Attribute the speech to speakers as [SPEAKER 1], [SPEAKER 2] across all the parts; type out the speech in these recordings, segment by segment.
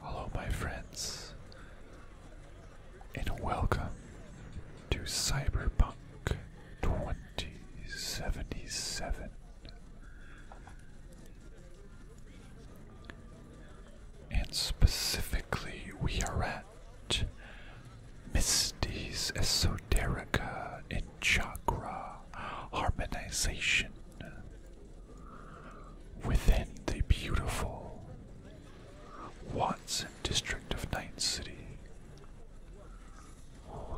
[SPEAKER 1] Hello, my friends, and welcome to Cyberpunk 2077. And specifically, we are at Misty's Esoterica in Chakra harmonization within the beautiful Watson district of Night City.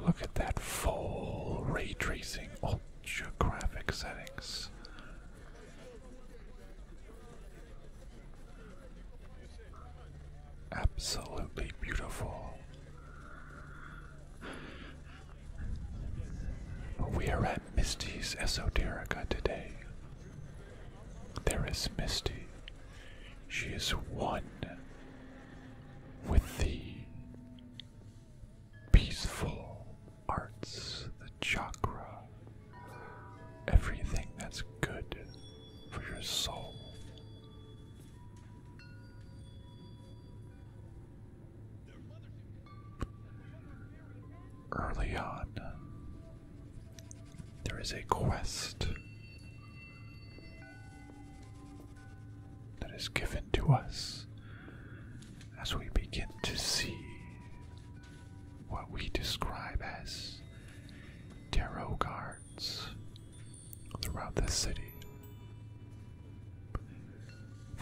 [SPEAKER 1] look at that full ray tracing ultra graphic settings. Absolutely beautiful. We are at Misty's Esoterica today. There is Misty. She is one with the peaceful arts, the chakra, everything that's good for your soul. Early on, there is a quest that is given to us as we begin to see what we describe as tarot cards throughout the city.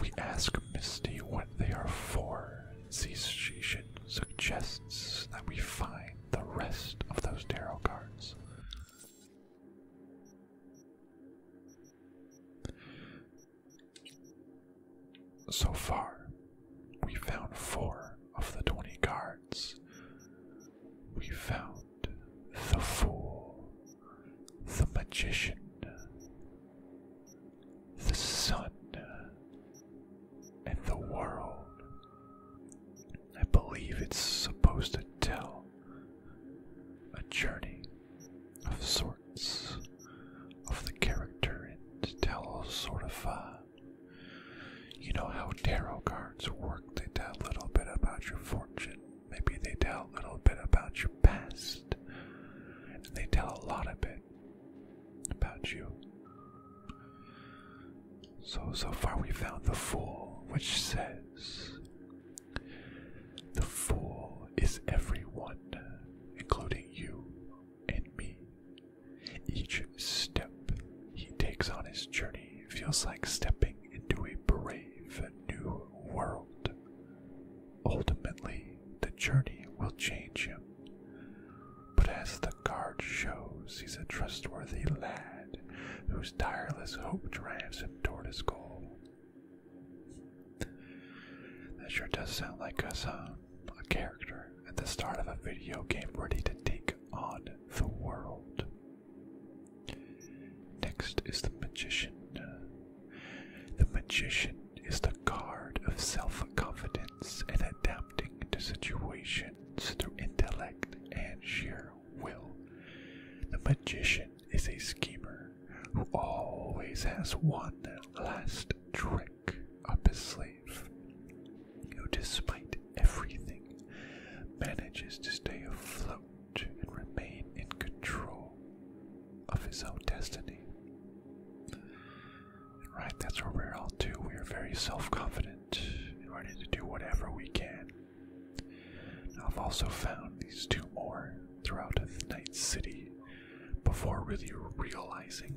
[SPEAKER 1] We ask Misty what they are for, since she suggests that we find the rest of those tarot cards. So far, we found four of the 20 cards. We found the four the magician, the sun, and the world. I believe it's supposed to tell a journey of sorts of the character it tells. sort of, uh, you know, how tarot cards work. They tell a little bit about your fortune Maybe they tell a little bit about your past, and they tell a lot of it about you. So, so far we found the Fool, which says the Fool is everyone, including you and me. Each step he takes on his journey feels like stepping into a brave new world. Ultimately, the journey will change him. But as the guard shows, he's a trustworthy lad whose tireless hope drives him toward his goal. That sure does sound like us, um, A character at the start of a video game ready to take on the world. Next is the Magician. The Magician is the guard of self confidence and adapting to situations through intellect and sheer will. The Magician is a schemer who always has one last trick up his sleeve, who, despite everything, manages to stay afloat and remain in control of his own destiny. right, that's where we're all too. We are very self confident and ready to do whatever we can. I've also found these two more throughout the night city before really realizing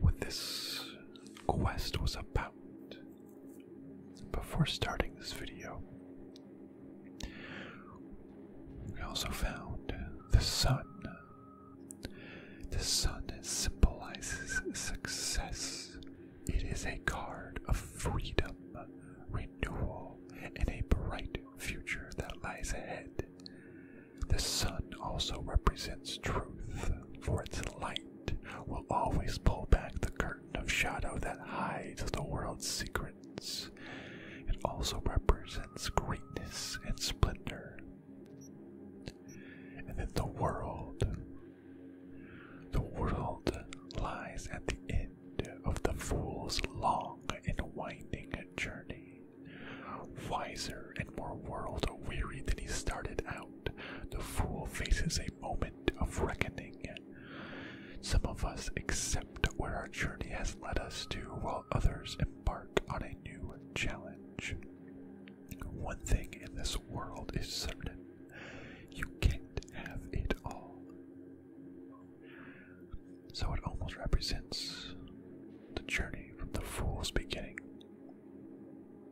[SPEAKER 1] what this quest was about before starting this video. We also found the sun. The sun symbolizes success. It is a card of freedom, renewal, and a bright future that lies ahead. The sun also represents truth, for its light will always pull back the curtain of shadow that hides the world's secrets. It also represents greatness and splendor. And in the world. The world lies at the end of the fool's long and winding journey. Wiser and more world weary than he started out, the fool faces a moment of reckoning. Some of us accept where our journey has led us to, while others embark on a new challenge. One thing in this world is certain you can't have it all. So it almost represents the journey from the fool's beginning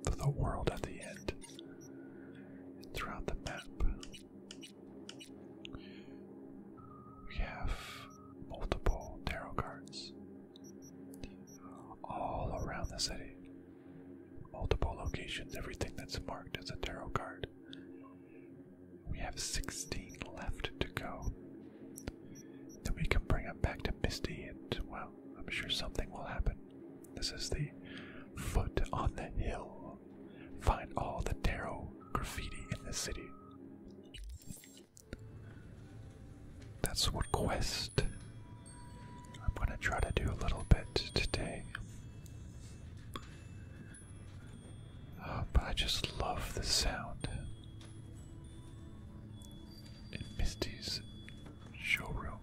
[SPEAKER 1] to the world at the end. throughout the map, we have multiple tarot cards all around the city. Multiple locations, everything that's marked as a tarot card. We have 16 left to go. Then we can bring them back to Misty, and well, I'm sure something will happen. This is the foot on the hill Find all the tarot graffiti in the city. That's what quest I'm gonna try to do a little bit today. Uh, but I just love the sound in Misty's showroom.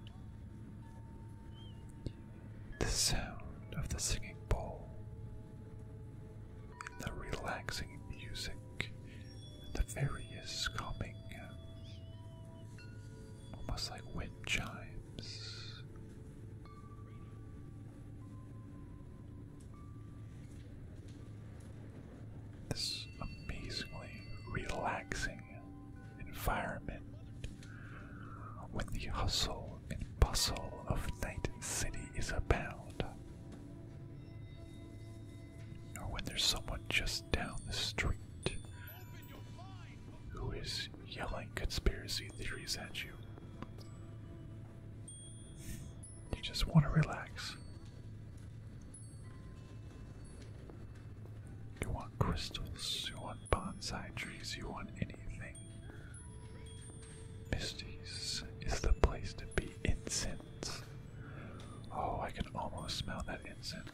[SPEAKER 1] The sound of the singing bowl, and the relaxing music, and the various calming, almost like wind chimes. This amazingly relaxing environment when the hustle and bustle of Night City is abound, or when there's someone just down the street who is yelling conspiracy theories at you. You just want to relax. You want crystals, you want bonsai trees, you want Misty's is the place to be. Incense. Oh, I can almost smell that incense.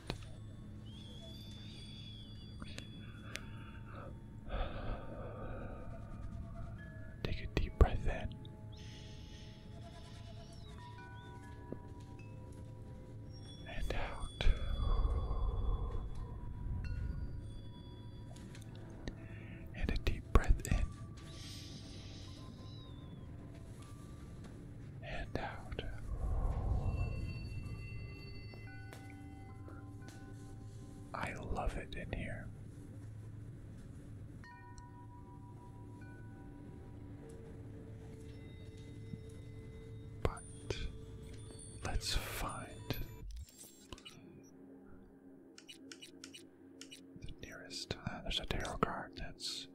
[SPEAKER 1] Take a deep breath in and out. And a deep breath in and out. I love it in here. But Let's find the nearest. Uh, there's a tarot card that's.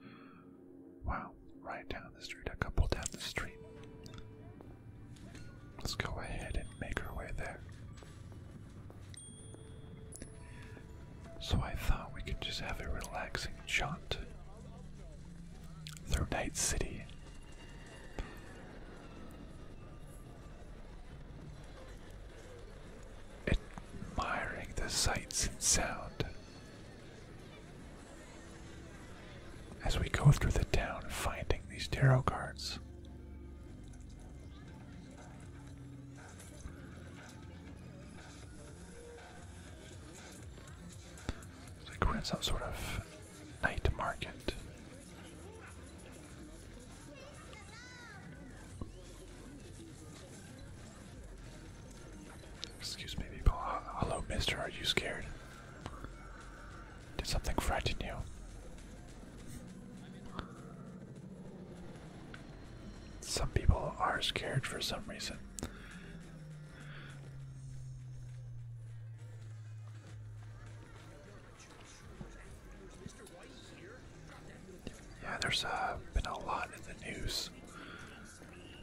[SPEAKER 1] Wow, right down the street, a couple down the street. Let's go ahead and make our way there. So I thought we could just have a relaxing jaunt through Night City Admiring the sights and sound. As we go through the town finding these tarot cards. like some sort of night market. Excuse me, people. Hello, mister. Are you scared? Did something frighten you? Some people are scared for some reason. Yeah, there's uh, been a lot in the news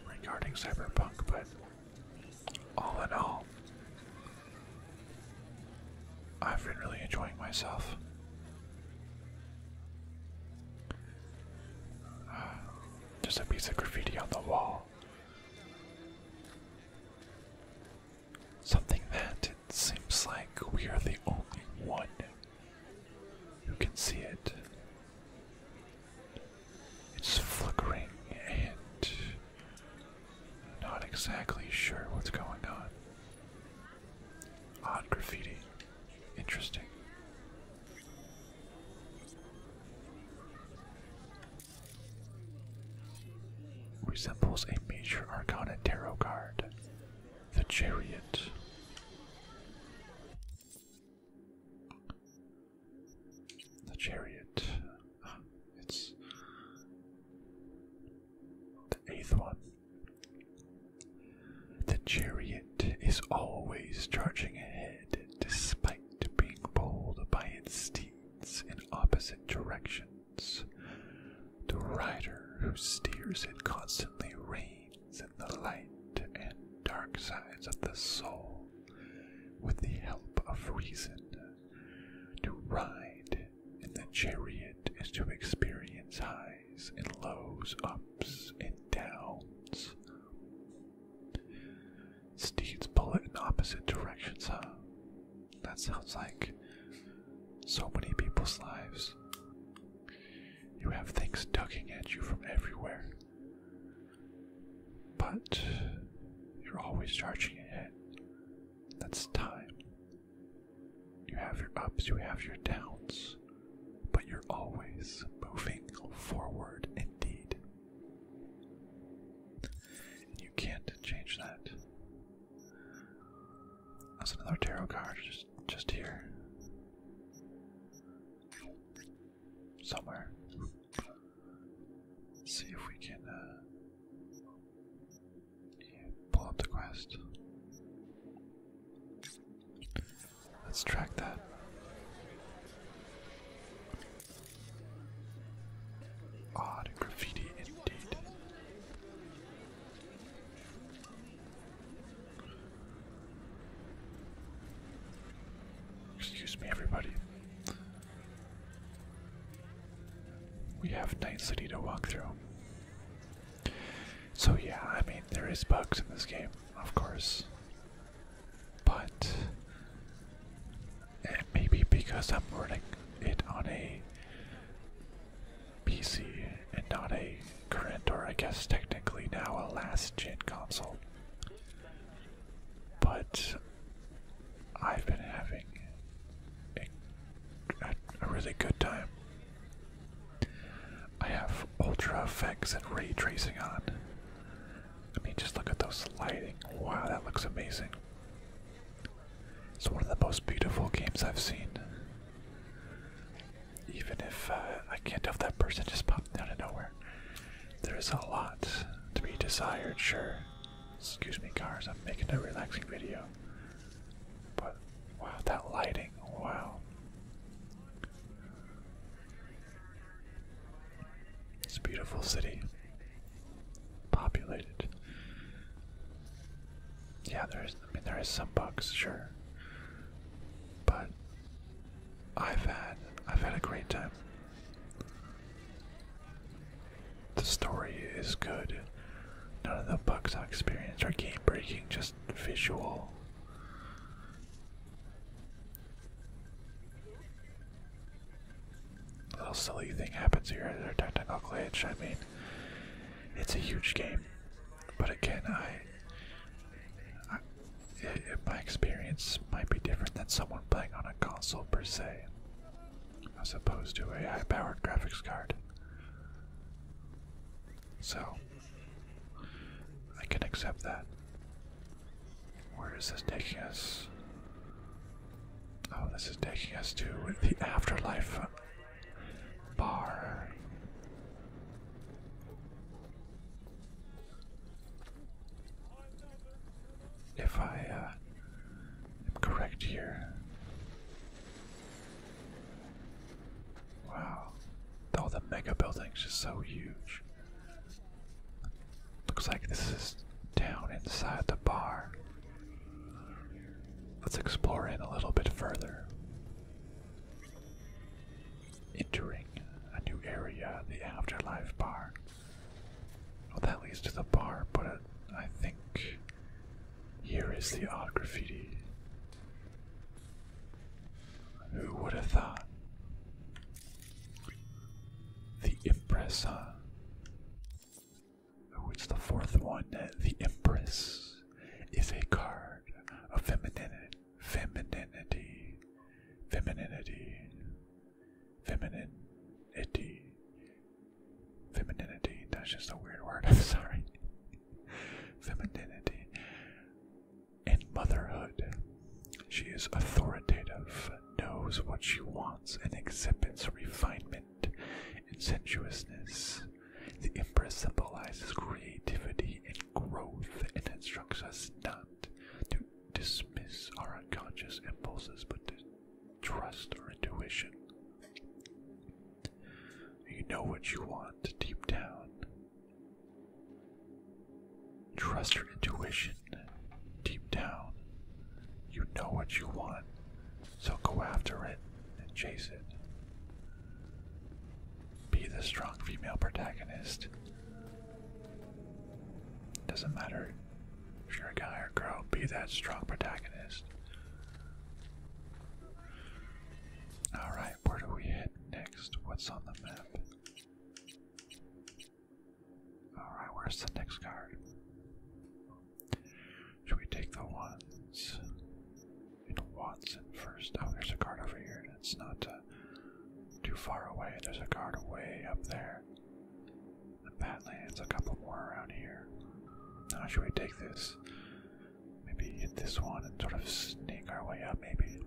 [SPEAKER 1] regarding Cyberpunk, but all in all, I've been really enjoying myself. Uh, just a piece of graffiti on the wall. Something that it seems like we are the only one who can see it. It's flickering and not exactly sure what's going on. Odd graffiti. Interesting. Resembles a major arcana tarot card, the Chariot. The Chariot. It's the eighth one. The Chariot is always charging ahead despite being pulled by its steed in opposite directions. The rider who steers it constantly reigns in the light and dark sides of the soul with the help of reason. To ride in the chariot is to experience highs and lows, ups and downs. Steeds bullet in opposite directions, huh? That sounds like so many people's lives. You have things ducking at you from everywhere. But you're always charging ahead. That's time. You have your ups, you have your downs, but you're always moving forward indeed. You can't change that. That's another tarot card just just here. Somewhere. see if we can uh, pull up the quest. Let's track that. Odd graffiti indeed. Excuse me, everybody. We have Night City to walk through. So, yeah, I mean, there is bugs in this game, of course. But and maybe because I'm running it on a PC and not a current, or I guess technically now a last gen console. But I've been having a, a really good time. I have ultra effects and ray tracing on. I mean, just look at those lighting. Wow, that looks amazing. It's one of the most beautiful games I've seen. Even if uh, I can't tell if that person just popped out of nowhere. There's a lot to be desired, sure. Excuse me, cars, I'm making a relaxing video. But, wow, that lighting, wow. It's a beautiful city. Populated. Yeah, there's I mean there is some bugs, sure. But I've had I've had a great time. The story is good. None of the bugs I experienced are game breaking, just visual little silly thing happens here at our technical glitch. I mean, it's a huge game, but again, I, it, my experience might be different than someone playing on a console per se, as opposed to a high-powered graphics card. So I can accept that. Where is this taking us? Oh, this is taking us to the afterlife bar. If I uh, am correct here. Wow. All the mega buildings just so huge. Looks like this is down inside the bar. Let's explore in a little bit further. Entering a new area, the Afterlife Bar. Well, that leads to the bar, but I think here is the odd graffiti. Who would have thought? The Impress, huh? What's the fourth one? The Empress is a card of feminine, femininity, femininity, femininity, femininity. That's just a weird word. sorry. Femininity and motherhood. She is authoritative, knows what she wants and exhibits refinement and sensuousness. The Empress symbolizes creativity and growth and instructs us not to dismiss our unconscious impulses but to trust our intuition. You know what you want deep down. Trust your intuition deep down, you know what you want, so go after it and chase it. Be the strong female protagonist. Doesn't matter if you're a guy or girl, be that strong protagonist. Alright, where do we head next? What's on the map? Alright, where's the next card? Should we take the ones in Watson first? Oh, there's a card over here, and it's not uh, too far away. There's a card way up there. The Badlands, a couple more around here. Now, should we take this? Maybe hit this one and sort of sneak our way up, maybe?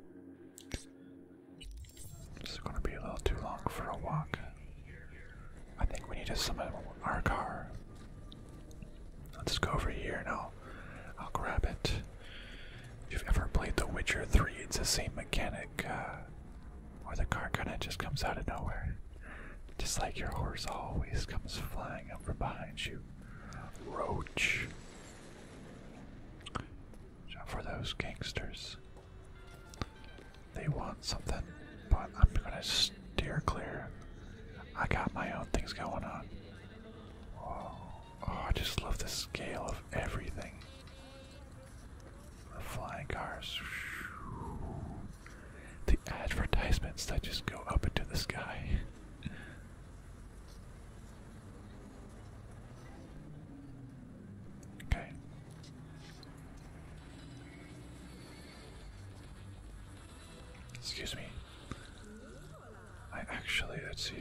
[SPEAKER 1] This is going to be a little too long for a walk. I think we need to summon our car. Let's just go over here and I'll, I'll grab it. If you've ever played The Witcher 3, it's the same mechanic uh, where the car kind of just comes out of nowhere. Just like your horse always comes flying up from behind you. Roach. So for those gangsters. They want something, but I'm gonna steer clear. I got my own things going on. Oh, I just love the scale of everything. The flying cars. The advertisements that just go up into the sky. okay. Excuse me. I actually, let's see.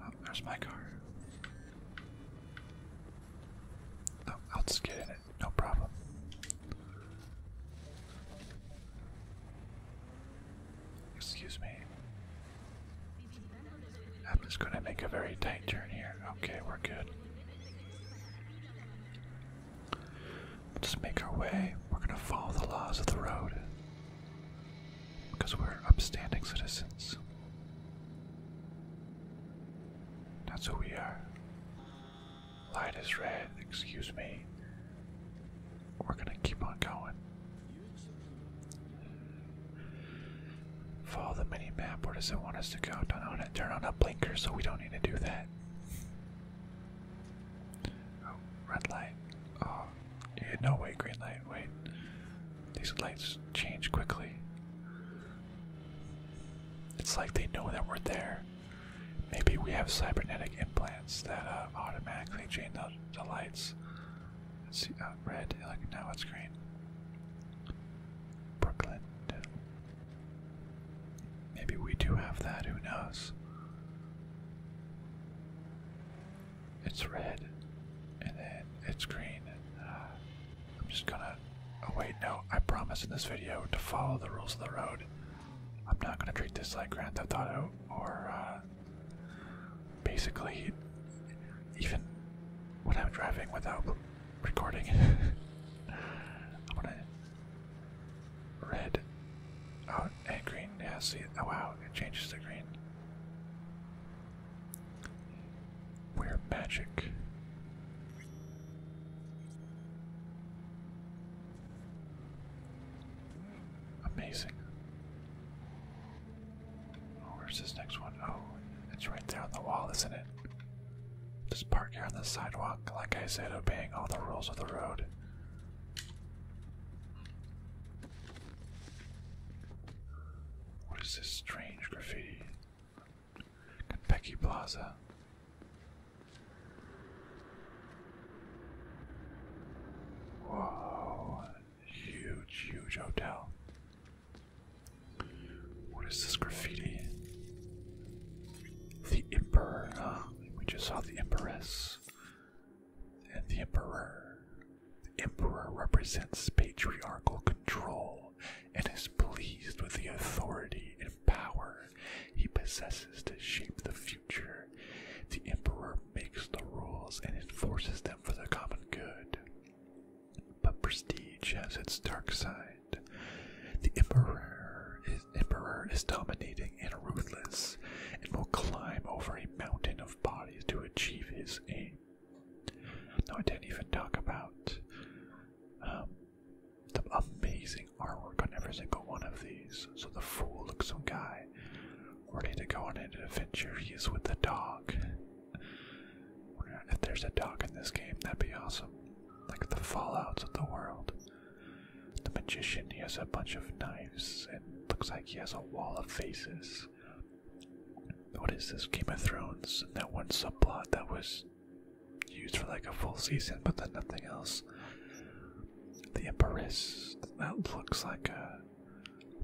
[SPEAKER 1] Oh, there's my car. Oh, I'll just get in no problem. Excuse me. I'm going to make a very tight turn here. Okay, we're good. just make our way. We're going to follow the laws of the road because we're upstanding citizens. That's who we are. Light is red, excuse me. We're gonna keep on going. Follow the mini map, where does it want us to go? do on it. turn on a blinker, so we don't need to do that. Oh, red light. Oh, yeah, no way, green light, wait. These lights change quickly. It's like they know that we're there. Maybe we have cybernetic implants that uh, automatically change the, lights. Let's see, uh, red, like now it's green. Brooklyn. Maybe we do have that, who knows? It's red, and then it's green. Uh, I'm just gonna Oh, wait, no. I promised in this video to follow the rules of the road. I'm not gonna treat this like Grand Theft Auto or, uh, Basically, even when I'm driving without recording, I'm to Red. Oh, and green. Yeah, see. Oh, wow. It changes to green. We're magic. Amazing. Oh, where's this next one? Oh, it's right there on the wall, isn't it? Just park here on the sidewalk, like I said, obeying all the rules of the road. What is this strange graffiti? Kentucky Plaza. Whoa, huge, huge hotel. What is this graffiti? The Emperor, We just saw the Empress and the Emperor. The Emperor represents patriarchal control and is pleased with the authority and power he possesses to shape the future. The emperor makes the rules and enforces them for the common good. But prestige has its dark side. The emperor is, emperor is dominating and ruthless and will climb over a mountain of bodies to achieve his aim. No, I didn't even talk about um, the amazing artwork on every single one of these. So the fool looks some guy ready to go on an adventure. He is with the dog. If there's a dog in this game, that'd be awesome. Like the fallouts of the world. The magician, he has a bunch of knives and looks like he has a wall of faces. What is this? Game of Thrones that one subplot that was used for like a full season, but then nothing else. The Empress that looks like a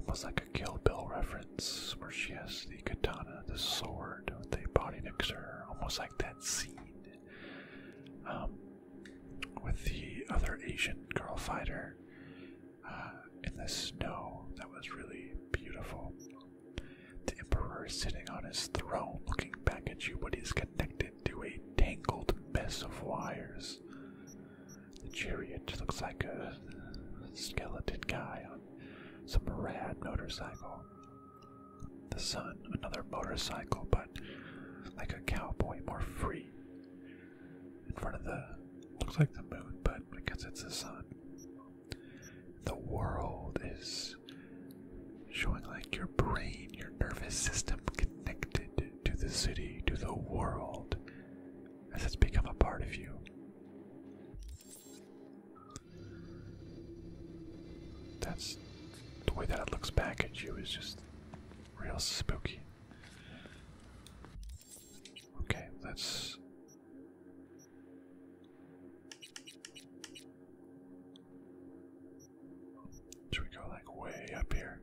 [SPEAKER 1] almost like a Kill Bill reference, where she has the katana, the sword with the body next to her, almost like that scene um, with the other Asian girl fighter uh, in the snow. That was really beautiful. The Emperor is sitting on his throne looking back at you, but he's connected to a tangled mess of wires. The chariot looks like a skeleton guy on some rad motorcycle. The sun, another motorcycle, but like a cowboy, more free. In front of the looks like the moon, but I it's the sun. The world is showing like your brain, your nervous system connected to the city, to the world, as it's become a part of you. That's the way that it looks back at you is just real spooky. Okay, let should we go like way up here?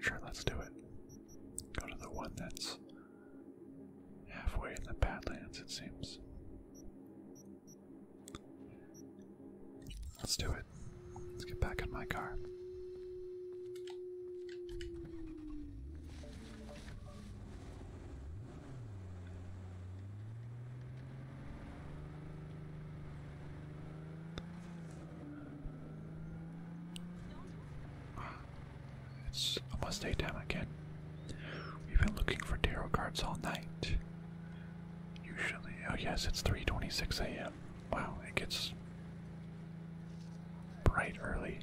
[SPEAKER 1] Sure, let's do it. Go to the one that's halfway in the Badlands, it seems. Let's do it. Let's get back in my car. It's almost daytime again. We've been looking for tarot cards all night. Usually, oh yes, it's 3:26 a.m. Wow, it gets bright early.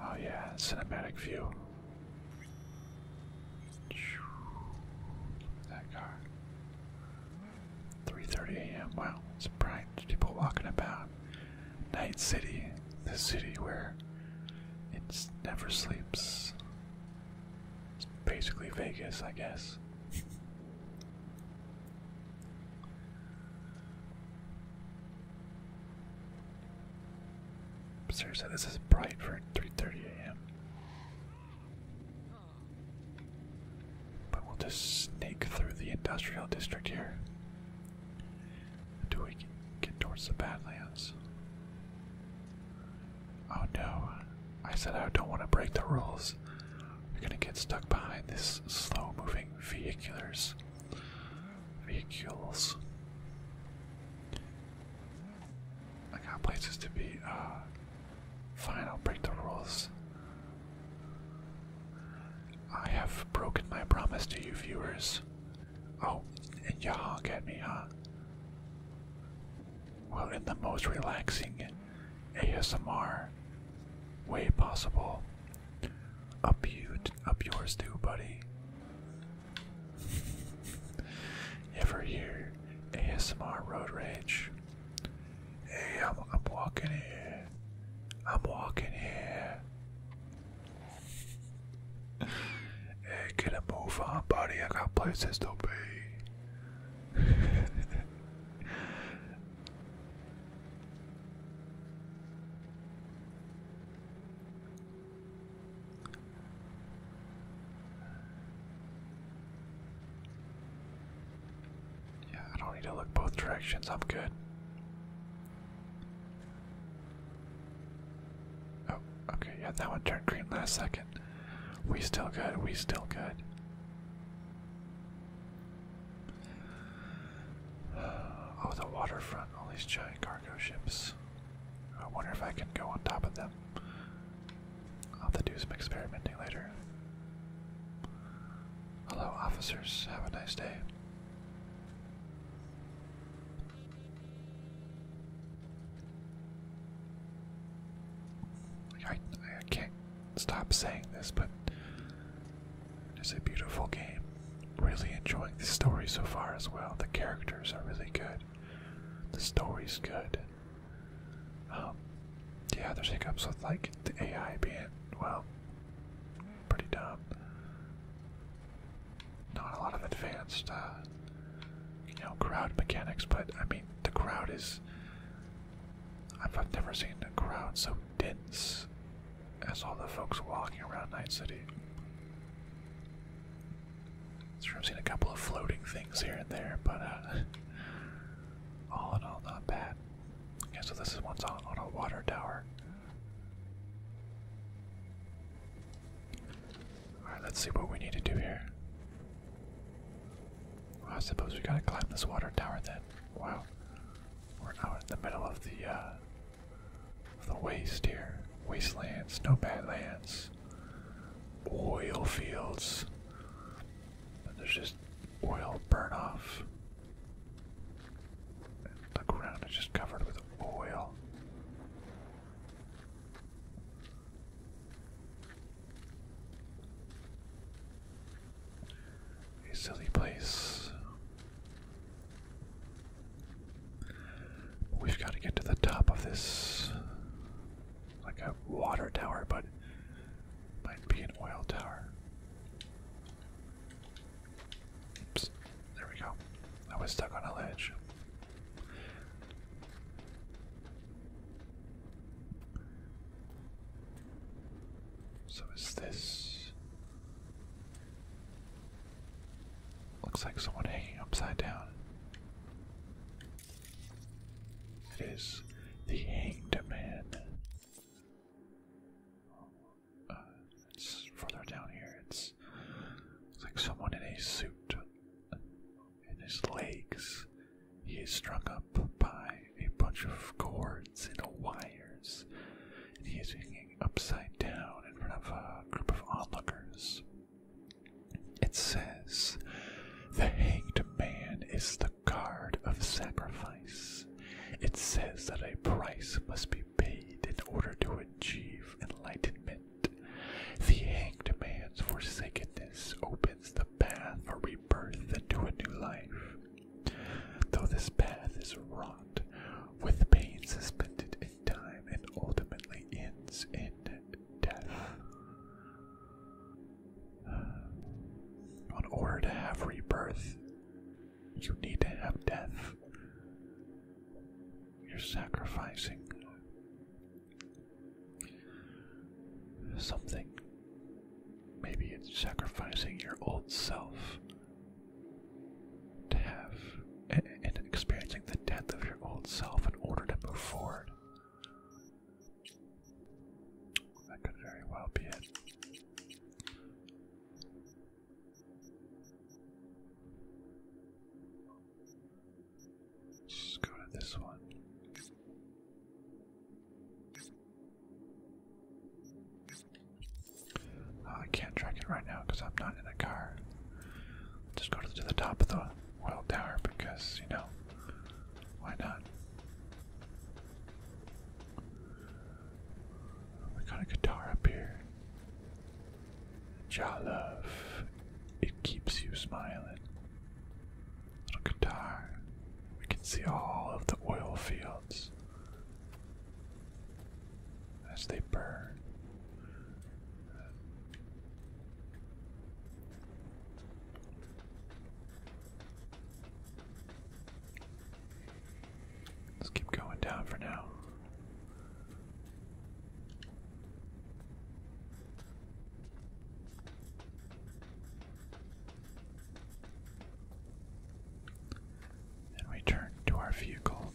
[SPEAKER 1] Oh yeah, cinematic view. That car. 3:30 a.m. Wow, it's bright. People walking about. Night City, the city where it never sleeps. basically Vegas, I guess. Seriously, this is bright for 3:30 a.m. But we'll just snake through the industrial district here until we can get towards the Badlands. Oh no. I said I don't want to break the rules. We're gonna get stuck behind this slow moving vehiculars. Vehicles. I got places to be. Uh, fine, I'll break the rules. I have broken my promise to you, viewers. Oh, and you honk at me, huh? Well, in the most relaxing ASMR way possible. Up you, up yours too, buddy. you ever hear ASMR road rage? Hey, I'm, I'm walking here. I'm walking here. Hey, get a move on, buddy. I got places to be. yeah, I don't need to look both directions. I'm good. Oh, okay. Yeah, that one turned green last second. We still good. We still good. Oh, the waterfront, all these giant cargo ships. I wonder if I can go on top of them. I'll have to do some experimenting later. Hello, officers. Have a nice day. I, stop saying this, but it's a beautiful game. Really enjoying the story so far as well. The characters are really good. The story's good. Um, yeah, there's hiccups with like the AI being, well, pretty dumb. Not a lot of advanced, uh, you know, crowd mechanics, but I mean, the crowd is I've never seen a crowd so dense as all the folks walking around Night City. Sure, I've seen a couple of floating things here and there, but uh, all in all, not bad. Okay, so this is one's on a water tower. Alright, let's see what we need to do here. I suppose we gotta climb this water tower then. Wow. We're out in the middle of the uh, the waste here. Wastelands, no badlands, oil fields. there's just oil burn off. And the ground is just covered with oil. A silly place. We've got to get to the top of this. Like a water tower, but might be an oil tower. Oops. There we go. I was stuck on a ledge. So is this looks like someone hanging upside down? It is the hanged man. Uh, it's further down here. It's, it's like someone in a suit in his legs. He is strung up by a bunch of cords and wires, and he is hanging upside down in front of a group of onlookers. It says, The hanged man is the guard of sacrifice. It says that a price must be paid in order to achieve enlightenment. The hanged man's forsakenness opens the path for rebirth into a new life. Though this path is wrought with pain suspended in time and ultimately ends in death. In order to have rebirth, you need to have death. You're sacrificing Something. Maybe it's sacrificing your old self to have and, experiencing the death of your old self in order to move forward. That could very well be it just go to this one. Oh, I can't track it right now because I'm not in a car. Just go to the top of the world tower because, you know, why not? We got a guitar up here. Ja love. It keeps you smiling little guitar. We can see all of the oil fields as they burn. Let's keep going down for now. Then we turn to our vehicle.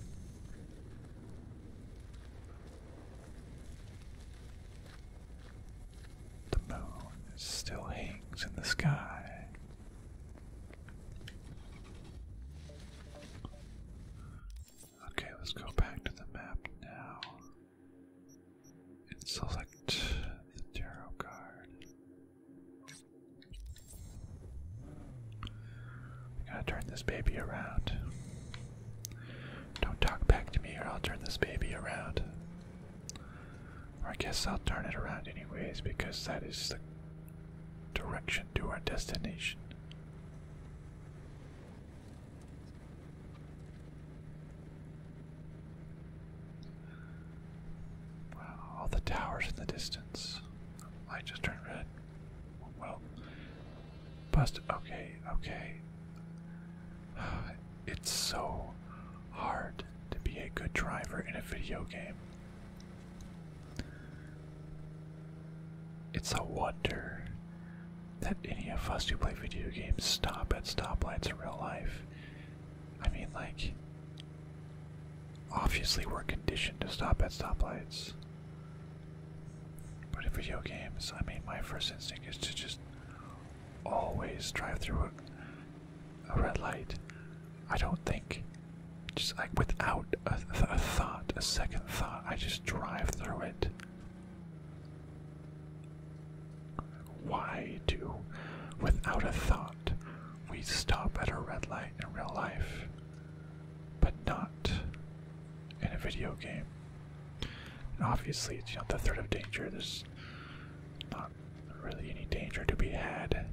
[SPEAKER 1] The moon still hangs in the sky. Okay, let's go back to the map now and select the tarot card. I gotta turn this baby around. Don't talk back to me or I'll turn this baby around. Or I guess I'll turn it around anyways because that is the direction to our destination. Wow, all the towers in the distance. The light just turned red. Well, bust. Okay, okay. It's so hard to be a good driver in a video game. It's a wonder that any of us who play video games stop at stoplights in real life. I mean, like, obviously we're conditioned to stop at stoplights. But in video games, I mean, my first instinct is to just always drive through a, red light. I don't think, just like without a thought, a second thought, I just drive through it. Why do, without a thought, we stop at a red light in real life, but not in a video game? obviously, it's not the threat of danger. There's not really any danger to be had.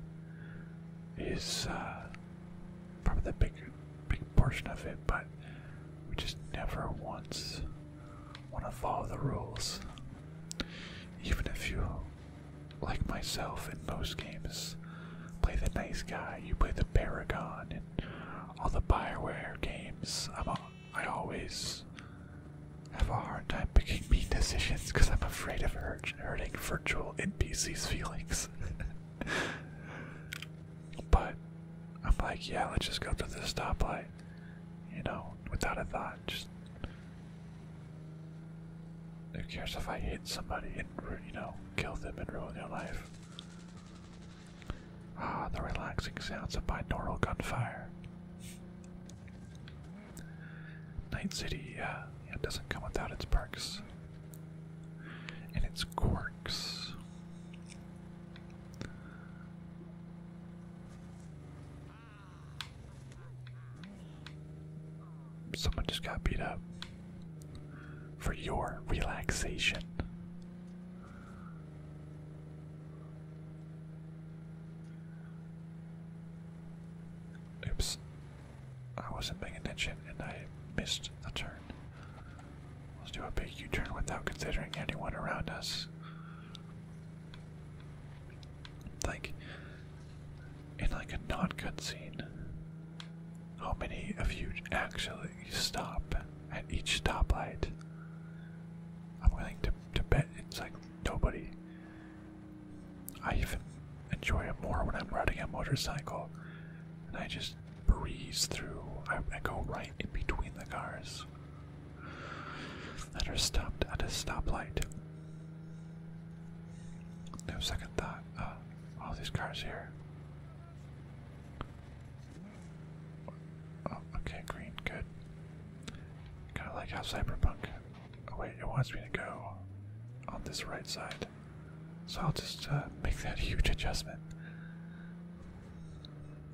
[SPEAKER 1] Is uh, probably the big, big portion of it, but we just never once want to follow the rules. Even if you, like myself in most games, play the nice guy, you play the Paragon, in all the Bioware games, I'm a, I always have a hard time making mean decisions because I'm afraid of hurting virtual NPCs' feelings. but I'm like, yeah, let's just go to the stoplight. You know, without a thought, just who cares if I hit somebody and you know kill them and ruin their life? Ah, the relaxing sounds of binaural gunfire. Night City, uh, yeah, doesn't come without its perks and its quirks. Someone just got beat up for your relaxation. Oops. I wasn't paying attention and I missed the turn. Let's do a big U turn without considering anyone around us. Like, in like a not good scene, how many of you actually stop at each stoplight? I'm willing to, to bet it's like nobody. I even enjoy it more when I'm riding a motorcycle and I just breeze through. I, I go right in between the cars that are stopped at a stoplight. No second thought. Oh, all these cars here. Oh, okay, green, good. Kind of like how Cyberpunk. Oh, wait, it wants me to go on this right side. So I'll just uh, make that huge adjustment.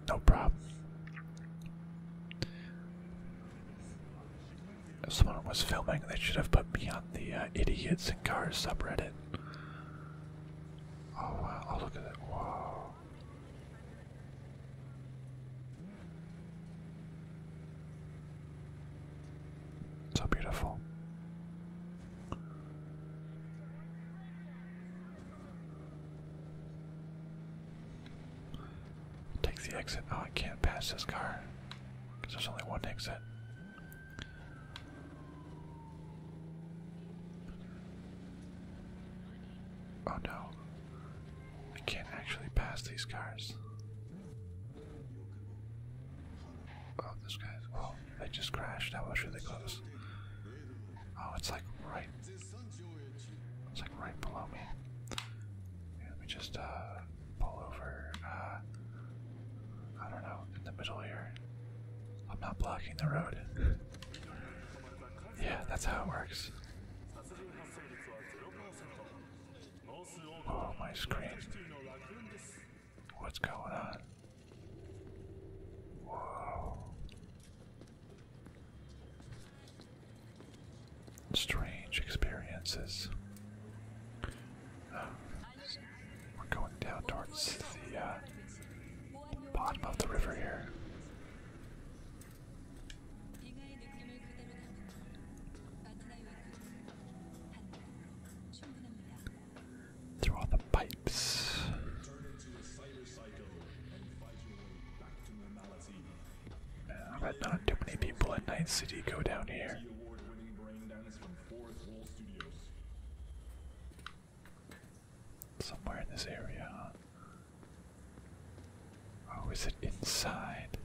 [SPEAKER 1] No problem. someone was filming, they should have put me on the uh, idiots in cars subreddit. Oh wow! Oh look at that! Wow. So beautiful. Take the exit. Oh, I can't pass this car because there's only one exit. Oh no, I can't actually pass these cars. Oh, this guy's. Oh, they just crashed. How much should really close. Oh, it's like right it's like right below me. Yeah, let me just uh, pull over. Uh, I don't know, in the middle here. I'm not blocking the road. yeah, that's how it works. Oh, my screen. What's going on? Whoa. Strange experiences. Um, we're going down towards the uh, bottom of the river here. Through all the pipes but not too many people at Night City go down here. Somewhere in this area, Oh, is it inside?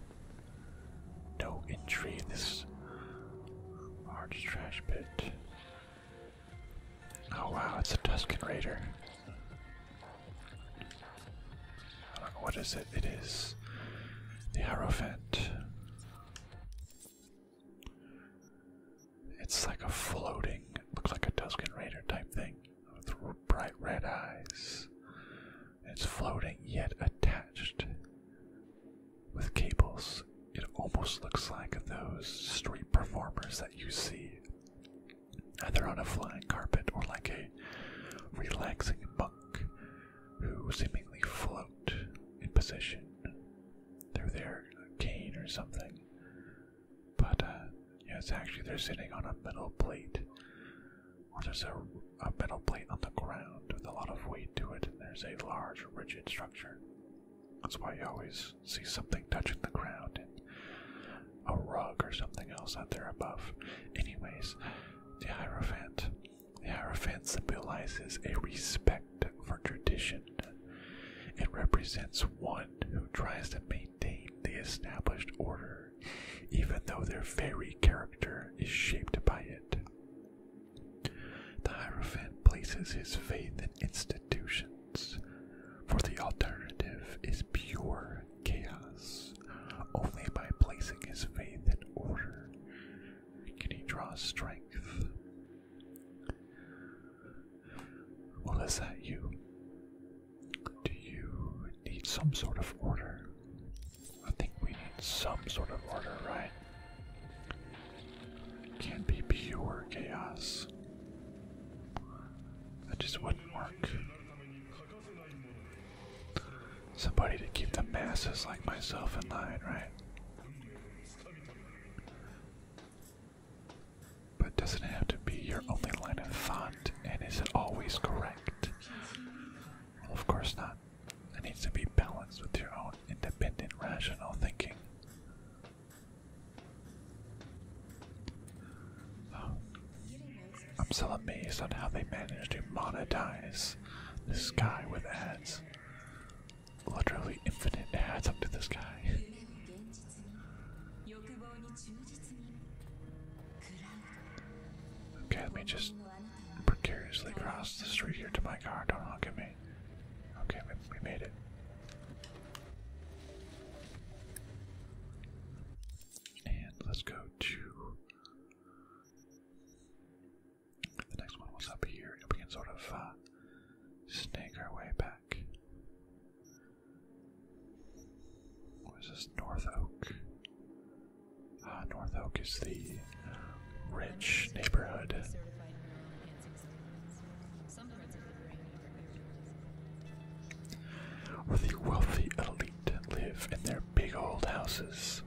[SPEAKER 1] No entry in this large trash pit. Oh wow, it's a Tuscan Raider. What is it? It is the Hierophant. It's like a floating, looks like a Tusken Raider type thing with bright red eyes. It's floating yet attached with cables. It almost looks like those street performers that you see either on a flying carpet or like a relaxing monk who seemingly float in position through their cane or something. But uh, it's actually, they're sitting on a metal plate, or there's a, metal plate on the ground with a lot of weight to it, and there's a large, rigid structure. That's why you always see something touching the ground a rug or something else out there above. Anyways, the Hierophant. The Hierophant symbolizes a respect for tradition. It represents one who tries to maintain the established order, even though their very character is shaped by it. The Hierophant places his faith in institutions for the alternative is pure chaos. Only by placing his faith in order can he draw strength. Well, is that you? Do you need some sort of order? I think we need some sort of order, right? It can't be pure chaos. That just wouldn't work. Somebody to keep the masses like myself in line, right? But doesn't it have to be your only line of thought, and is it always correct? of course not. It needs to be balanced with your own independent, rational thinking. I'm still amazed on how they managed to monetize the sky with ads. Literally infinite ads up to the sky. Okay, let me just precariously cross the street here to my car. Don't honk at me. Okay, we made it. And let's go to the next one was up here, we can sort of uh, snake our way back. What is this? North Oak. Ah, North Oak is the rich neighborhood. Where the wealthy elite live in their big old houses,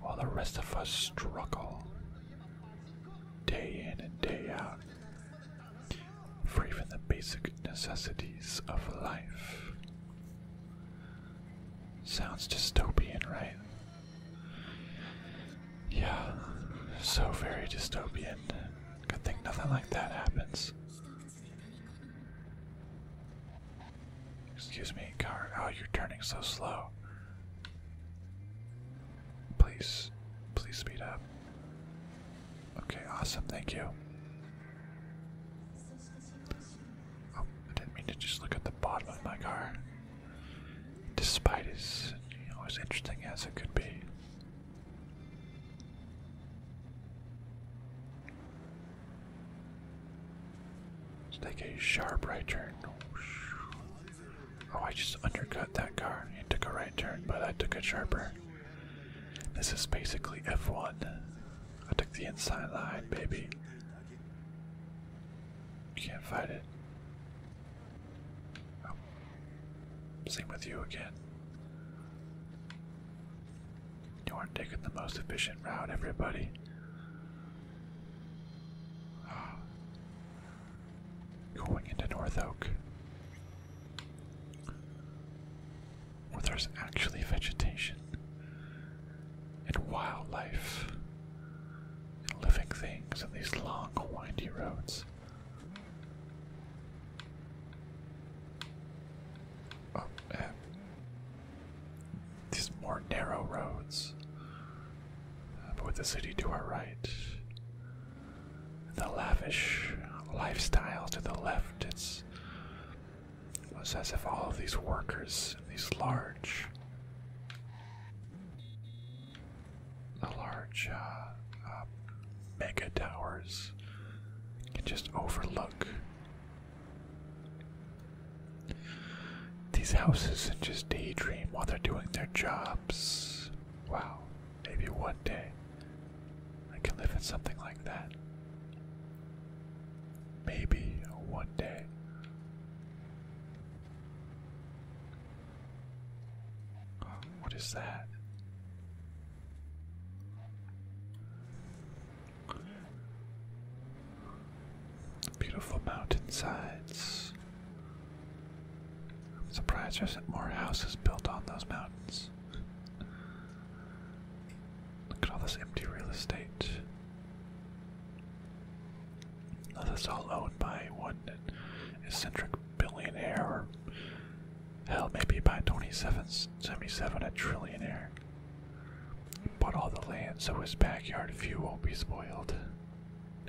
[SPEAKER 1] while the rest of us struggle day in and day out for even the basic necessities of life. Sounds dystopian, right? Yeah, so very dystopian. Good thing nothing like that happens. Excuse me, car. Oh, you're turning so slow. Please, please speed up. Okay, awesome. Thank you. Oh, I didn't mean to just look at the bottom of my car. Despite is you as interesting as it could be. Let's take a sharp right turn. Oh, I just undercut that car. It took a right turn, but I took a sharper. This is basically F1. I took the inside line, baby. Can't fight it. Oh. Same with you again. You aren't taking the most efficient route, everybody. Going into North Oak. Where there's actually vegetation and wildlife and living things and these long, windy roads. Oh, eh. these more narrow roads. Uh, but with the city to our right, the lavish lifestyle to the left, it's, it's as if all of these workers, these large, the large uh, uh, mega towers can just overlook these houses and just daydream while they're doing their jobs. Wow, maybe one day I can live in something like that. Maybe one day. What is that? Beautiful mountainsides. I'm surprised there isn't more houses built on those mountains. Look at all this empty real estate. Now, this is all owned by one eccentric billionaire or hell maybe by 2777 a trillionaire bought all the land so his backyard view won't be spoiled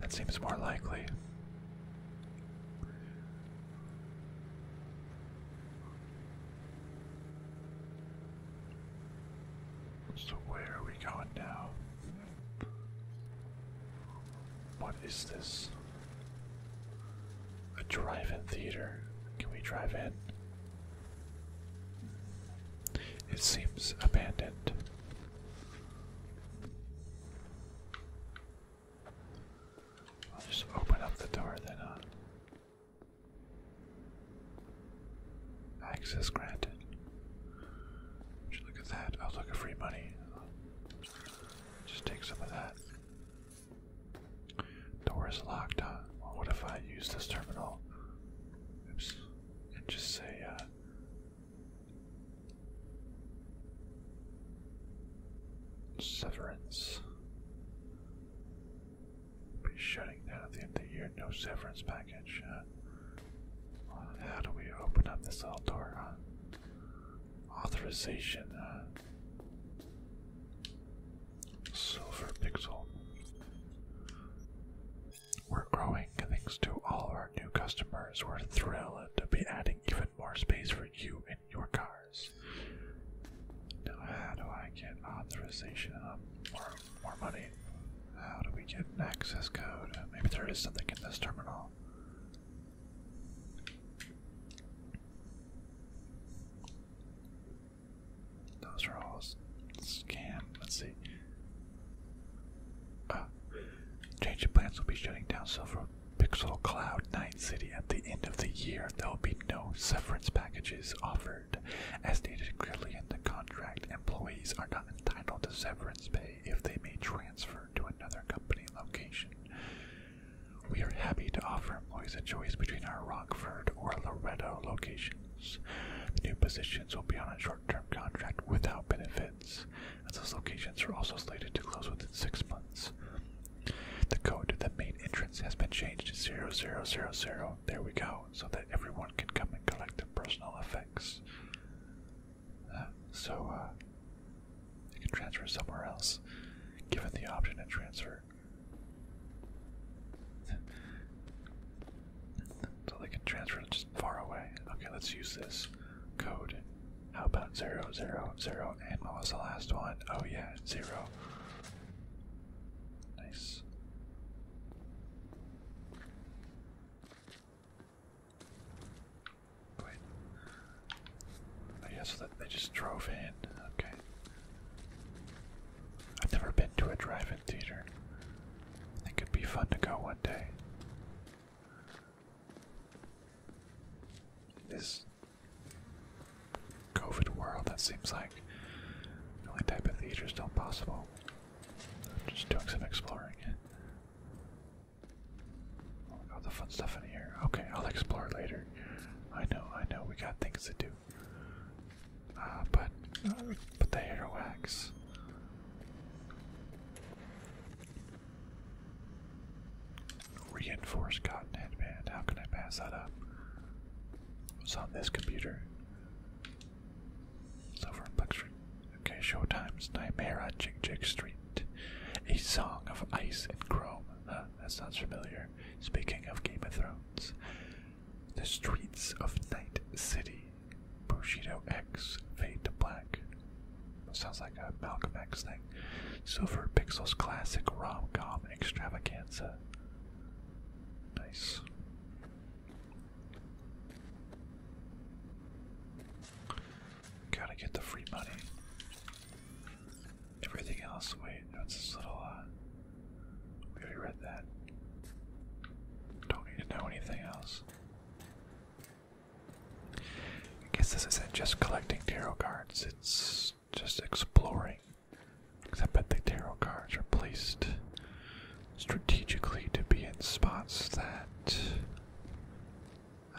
[SPEAKER 1] that seems more likely so where are we going now what is this? A drive-in theater. Can we drive in? It seems abandoned. I'll just open up the door then Access granted. look at that. Oh look at free money. Just take some of that. Door is locked, huh? what if I use this terminal? Oops. And just say, uh, Severance. Be shutting down at the end of the year. No severance package. how do we open up this little door? Huh? Authorization. Uh, silver pixel. We're growing thanks to all our new customers. We're thrilled to be adding even more space for you and your cars. Now, how do I get authorization um, more money? How do we get an access code? Maybe there is something in this terminal. Those are all scam. Let's see. Uh, change of plans will be shutting down Silver Pixel Cloud Night City at the end of the year. There will be no severance packages offered. As stated clearly in the contract, employees are not entitled to severance pay if they may to another company location. We are happy to offer employees a choice between our Rockford or Loretto locations. The new positions will be on a short term contract without benefits, as those locations are also slated to close within six months. The code to the main entrance has been changed to 0000. There we go, so that everyone can come and collect their personal effects so uh, can transfer somewhere else, given the option to transfer. so they can transfer just far away. Okay, let's use this code. How about zero zero zero? And what was the last one? Oh yeah, zero. Nice. Wait. Oh yeah, that they just drove in. Okay. I've never been to a drive-in theater. I think it'd be fun to go one day. This COVID world that seems like the only type of theater still possible. I'm just doing some exploring. All oh, the fun stuff in here. Okay, I'll explore later. I know, I know, we got things to do. Uh, but, uh, but the earwax. Reinforced cotton headband. How can I pass that up? It's on this computer. It's over Okay, Showtime's Nightmare on Jig Jig Street. A Song of Ice and Chrome. Uh, that sounds familiar. Speaking of Game of Thrones, The Streets of Night City. Bushido X, Fade to Black. Sounds like a Malcolm X thing. Silver Pixels Classic Rom Com Extravaganza. Nice. Gotta get the free money. Everything else, wait, that's this little, uh, we already read that. Don't need to know anything else. I guess this isn't just collecting tarot cards, it's just exploring. Because I bet the tarot cards are placed strategically to be in spots that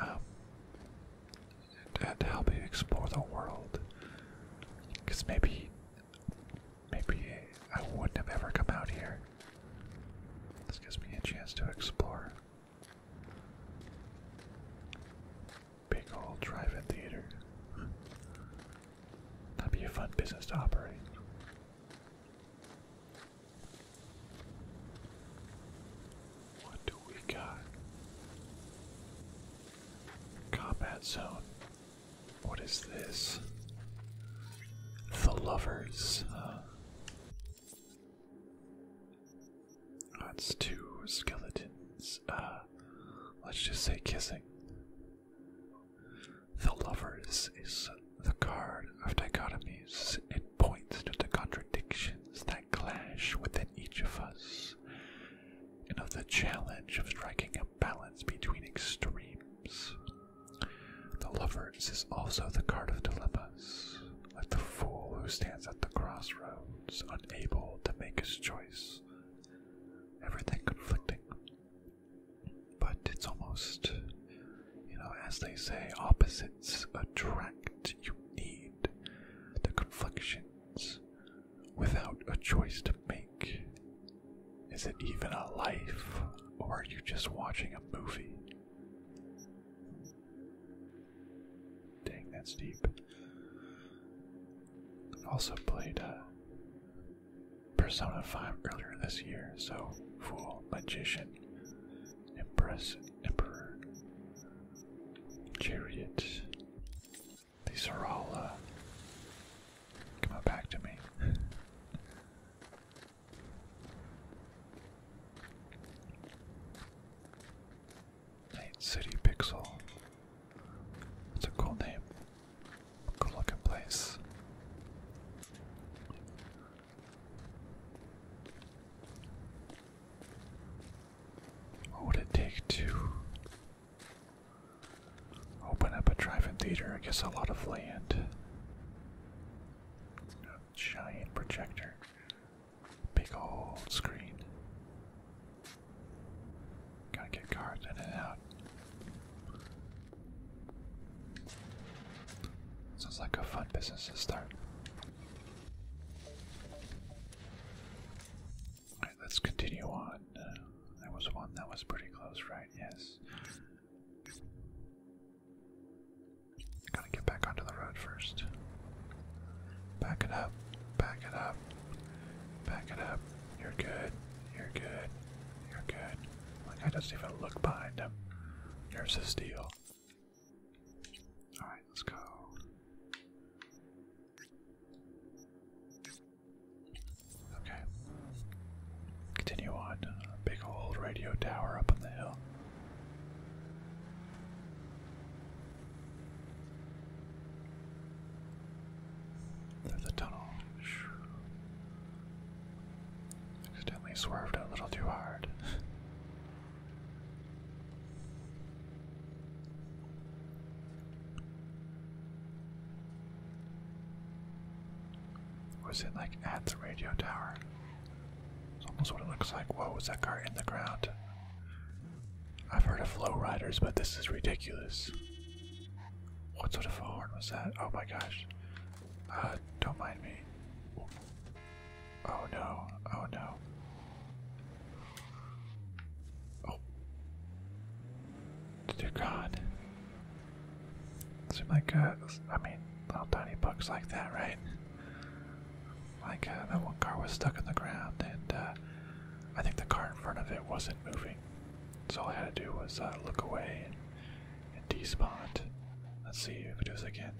[SPEAKER 1] um, and help you explore the world. Because maybe, maybe I wouldn't have ever come out here. This gives me a chance to explore. Big old drive-in theater. Hmm. That'd be a fun business to operate. What do we got? Combat zone. What is this? The lovers. That's two skeletons. Uh, let's just say kissing. The lovers is the card of dichotomies, it points to the contradictions that clash within each of us, and of the challenge of striking a balance between extremes. The Lovers is also the card of dilemmas, like the fool who stands at the crossroads, unable to make his choice. Everything conflicting. But it's almost you know, as they say, opposites attract. You need the conflictions without a choice to make. Is it even a life, or are you just watching a movie? Dang, that's deep. I also played Persona 5 earlier this year, so Fool, Magician, Empress, Emperor, Chariot. These are all, uh, back to me. Night City Pixel. That's a cool name. Cool looking place. What would it take to open up a drive-in theater? I guess a lot of land. giant projector. Big old screen. Gotta get cars in and out. Sounds like a fun business to start. Alright, let's continue on. Uh, there was one that was pretty close, right? Yes. Gotta get back onto the road first. Back it up. Back it up. Back it up. You're good. You're good. You're good. Like, I doesn't even look behind him. There's a steal. Alright, let's go. Okay. Continue on. Uh, big old radio tower up on the hill. There's a tunnel. Accidentally swerved a little too hard. Was it like at the radio tower? It's almost what it looks like. Whoa, is that car in the ground? I've heard of flow riders, but this is ridiculous. What sort of horn was that? Oh my gosh. Uh, don't mind me. Oh no, oh no. Oh. Dear God. Seem like a, uh, I mean, little tiny bugs like that, right? Like uh, that one car was stuck in the ground, and uh, I think the car in front of it wasn't moving. So all I had to do was look away and, and despawn. Let's see if it does again.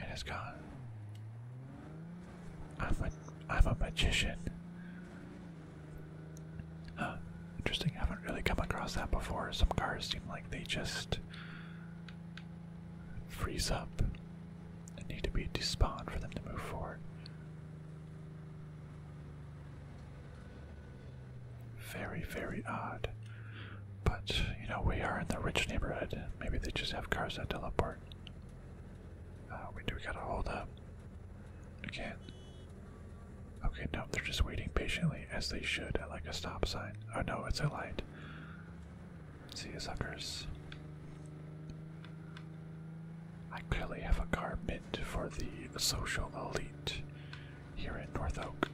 [SPEAKER 1] And it's gone. I'm a, I'm a magician. interesting. I haven't really come across that before. Some cars seem like they just freeze up and need to be despawned for them to move forward. Very, very odd. But, you know, we are in the rich neighborhood. Maybe they just have cars that teleport. Uh, we do gotta hold up. Again. Okay, no, they're just waiting patiently, as they should, at like a stop sign. Oh no, it's a light. See you suckers. I clearly have a car meant for the social elite here in North Oak.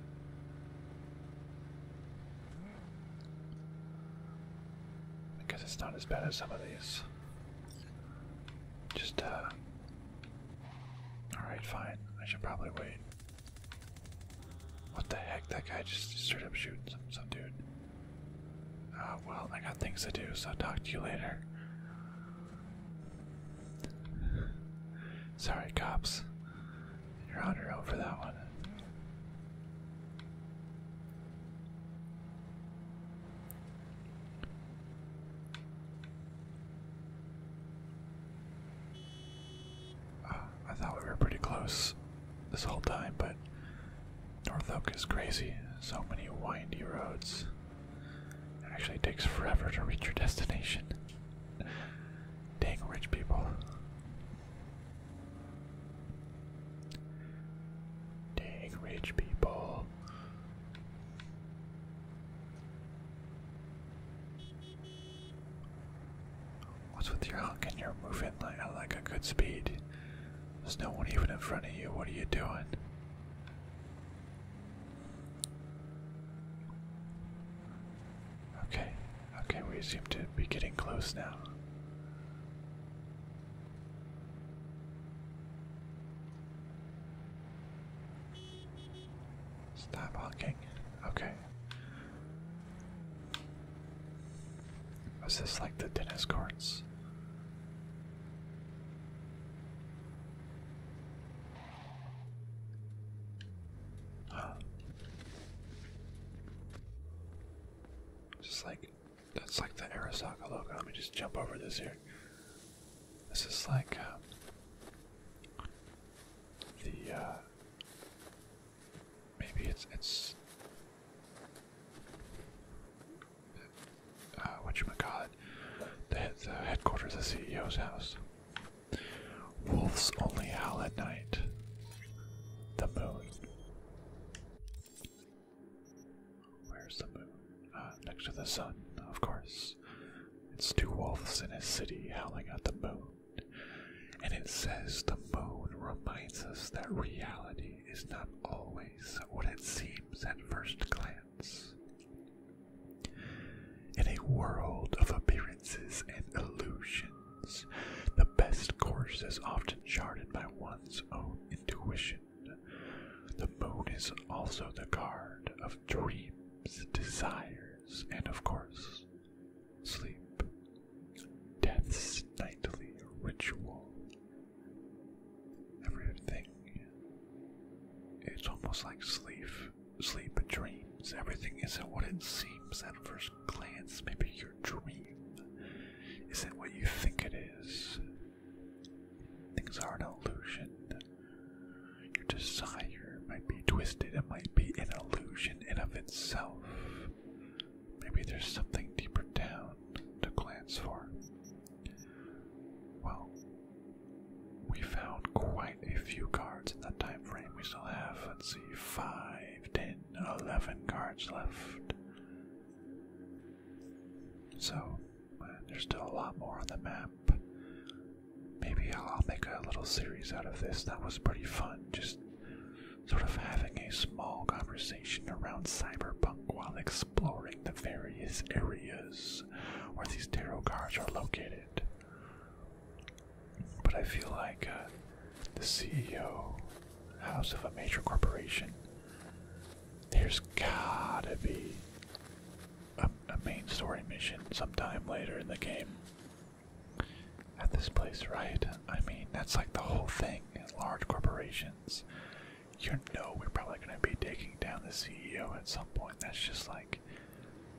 [SPEAKER 1] Because it's not as bad as some of these. Just, uh, Alright, fine. I should probably wait. What the heck? That guy just straight up shooting some, dude. Uh, well, I got things to do, so talk to you later. Sorry, cops. You're on your own for that one. Uh, I thought we were pretty close this whole time, but North Oak is crazy. So many windy roads. It actually takes forever to reach your destination. Dang rich people. Dang rich people. What's with your hunk and you're moving like at like a good speed? There's no one even in front of you. What are you doing? Okay, okay, we seem to be getting close now. Stop honking. Okay. Is this like the tennis courts? Huh. Just like that's like the Arasaka logo. Let me just jump over this here. This is like uh, the uh, maybe it's it's uh, what you call it the the headquarters of the CEO's house. Wolves only howl at night. The moon. Where's the moon? Ah, next to the sun, of course. It's two wolves in a city howling at the moon. And it says the moon reminds us that reality is not always what it seems at first glance. In a world of appearances and illusions, the best course is often charted by one's own intuition. The moon is also the guard of dreams, desires, and of course, sleep. Death's nightly ritual. Everything. It's almost like sleep sleep and dreams. Everything isn't what it seems at first glance. Maybe your dream isn't what you think it is. Things are an illusion. Your desire might be twisted, it might be an illusion in of itself. Maybe there's something deeper down to glance for. Well, we found quite a few cards in that time frame. We still have, let's see, five, ten, eleven cards left. So, there's still a lot more on the map. Maybe I'll make a little series out of this. That was pretty fun, just sort of having a small conversation around cyberpunk while exploring the various areas where these tarot cards are located. But I feel like uh, the CEO, house of a major corporation, there's gotta be a, main story mission sometime later in the game at this place, right? I mean, that's like the whole thing is large corporations. You know, we're probably gonna be taking down the CEO at some point. That's just like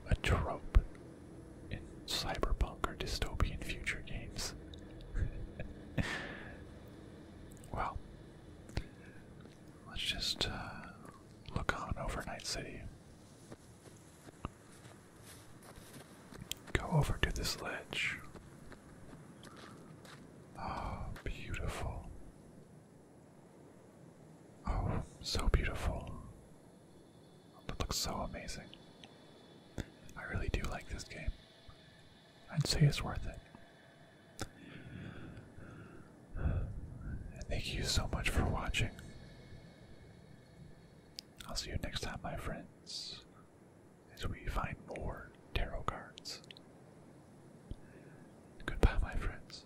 [SPEAKER 1] a trope in cyberpunk or dystopian future games. well, let's just uh, look on over City. Go over to this ledge. Oh, beautiful. Oh, so beautiful. That looks so amazing. I really do like this game. I'd say it's worth it. And thank you so much for watching. I'll see you next time, my friends, as we find more tarot cards. Goodbye, my friends.